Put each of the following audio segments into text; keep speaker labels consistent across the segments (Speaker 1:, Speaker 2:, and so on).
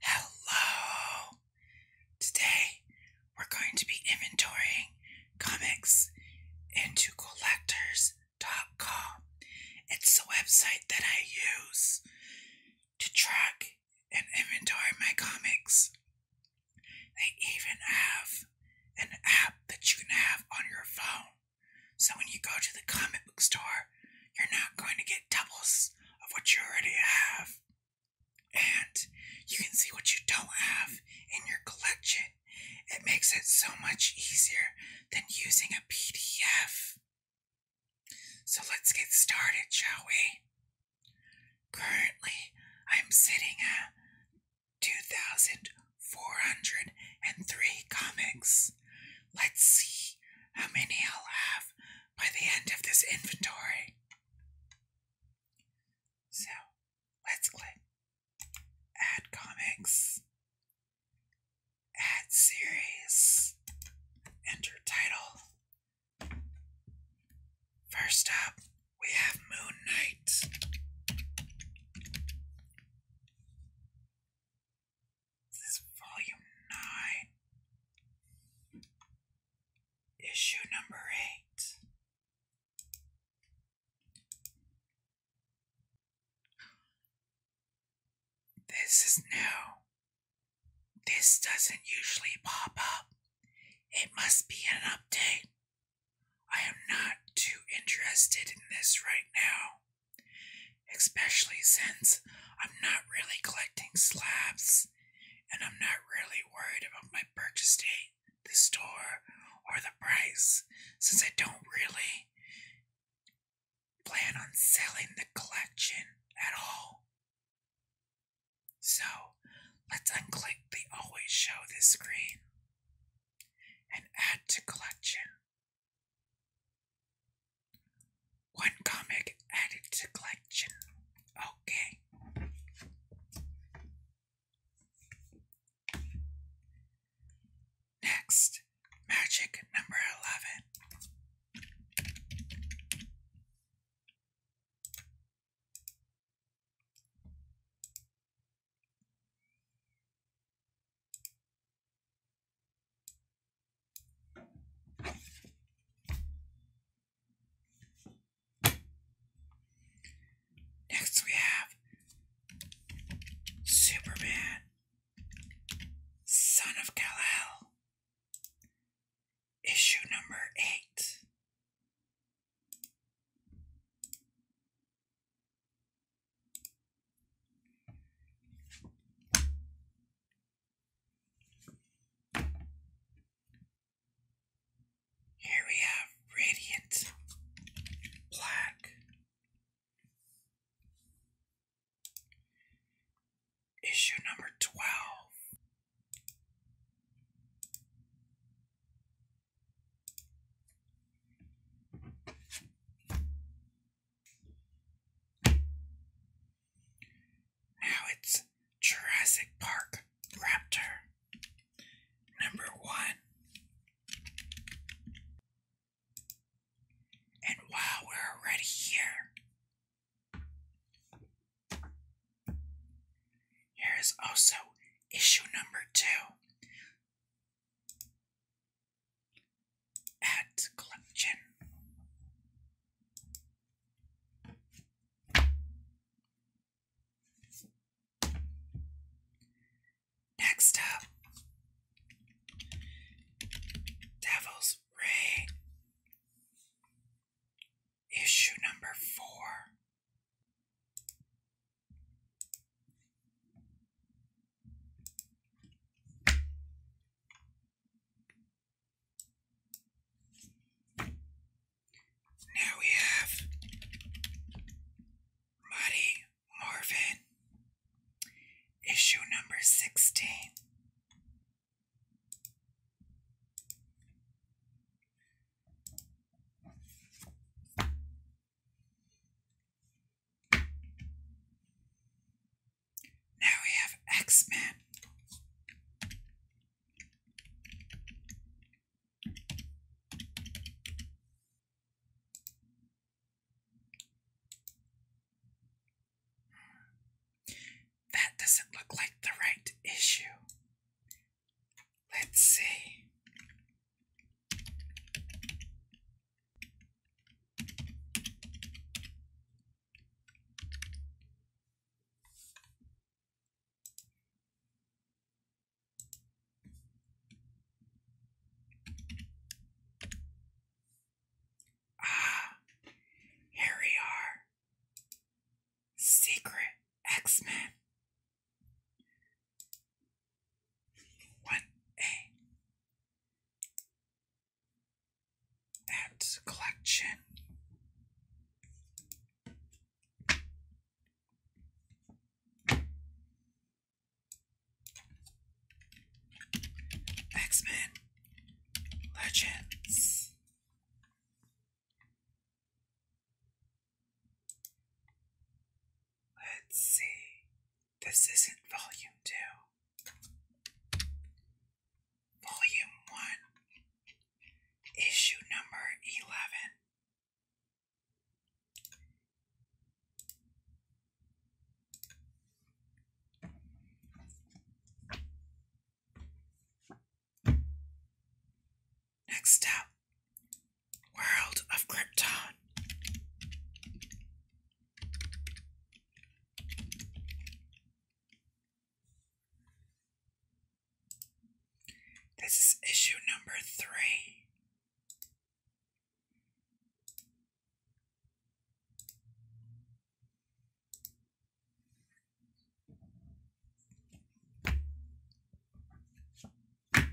Speaker 1: Hello! Today we're going to be inventorying comics into collectors.com. It's the website that I use to track and inventory my comics. They even have an app that you can have on your phone. So when you go to the comic book store, you're not going to get doubles of what you already have. And you can see what you don't have in your collection. It makes it so much easier than using a PDF. So let's get started, shall we? Currently, I'm sitting at 2,403 comics. Let's see how many I'll have by the end of this inventory. So let's click Add Comics, Add Series, Enter Title. First up, we have Moon Knight. This is volume nine, issue number eight. This is new. This doesn't usually pop up. It must be an update. I am not too interested in this right now. Especially since I'm not really collecting slabs and I'm not really worried about my purchase date, the store, or the price, since I don't really plan on selling the collection at all. So let's unclick the always show this screen and add to collection. One comic added to collection. Okay. Next, magic number 11. Next, we have Superman, Son of Kal El, issue number eight. Here we have Radiant Black. Issue number 12. Now it's Jurassic Park Raptor. Number one. And while we're already here, here is also issue number two Add collection. Next up, Devil's Ray, issue number four. Now we have Muddy Marvin, issue number 16. Now we have X Men. That doesn't look like the right issue. Let's see. Ah, here we are. Secret X Men what a collection. X-Men Legends Let's see. This isn't volume two. Volume one, issue number 11. Next up, World of Krypton. This is issue number three. Here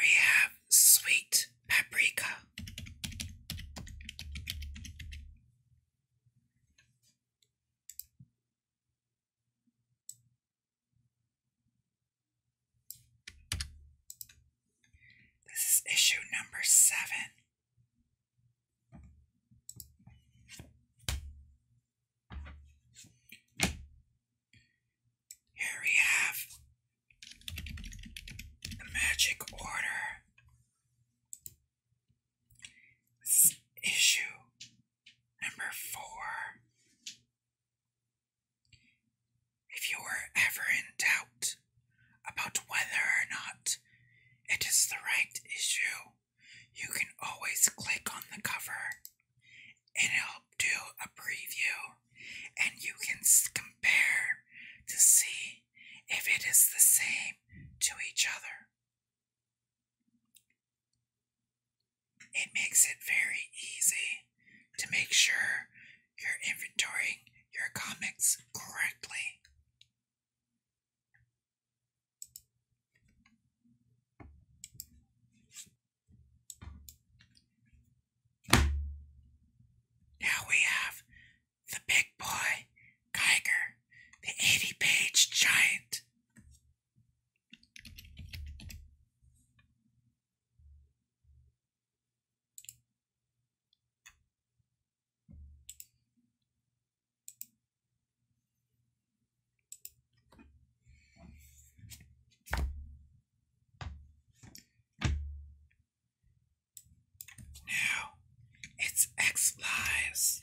Speaker 1: we have sweet paprika. This is issue number seven. Here we have the magic order. issue number four. If you were ever in doubt about whether or not it is the right issue, you can always click on the cover and it'll do a preview and you can compare to see if it is the same to each other. It makes it very easy to make sure you're inventorying your comics correctly. Now we have the big boy, Geiger, the 80 page giant. Now it's X Lives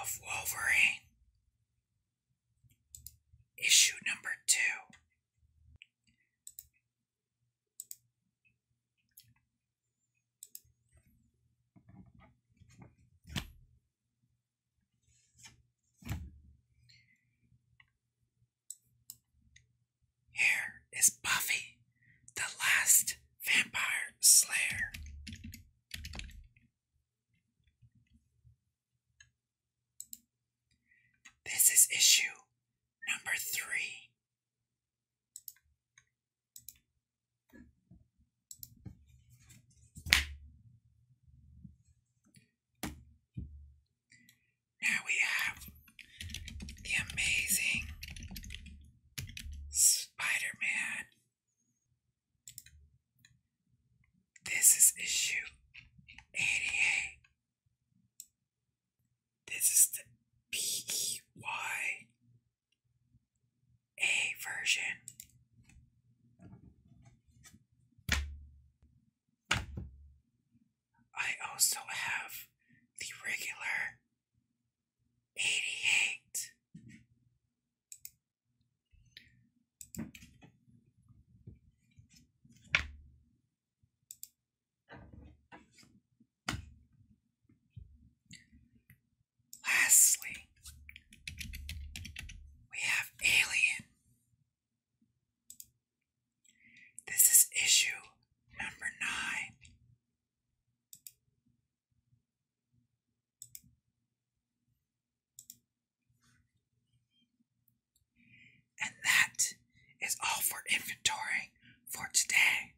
Speaker 1: of Wolverine, issue number two. Here is Buffy, the last vampire slayer. This is issue number three now we have the amazing Spider Man. This is issue 88. This is the PEY a version. I also have the regular 88. Lastly, we have Alien. This is issue number nine. And that is all for inventory for today.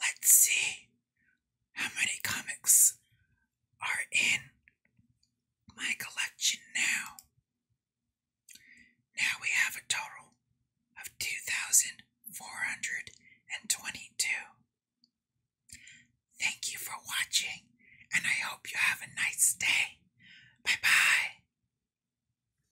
Speaker 1: Let's see how many comics are in my collection now. Now we have a total of 2,422. Thank you for watching, and I hope you have a nice day. Bye bye.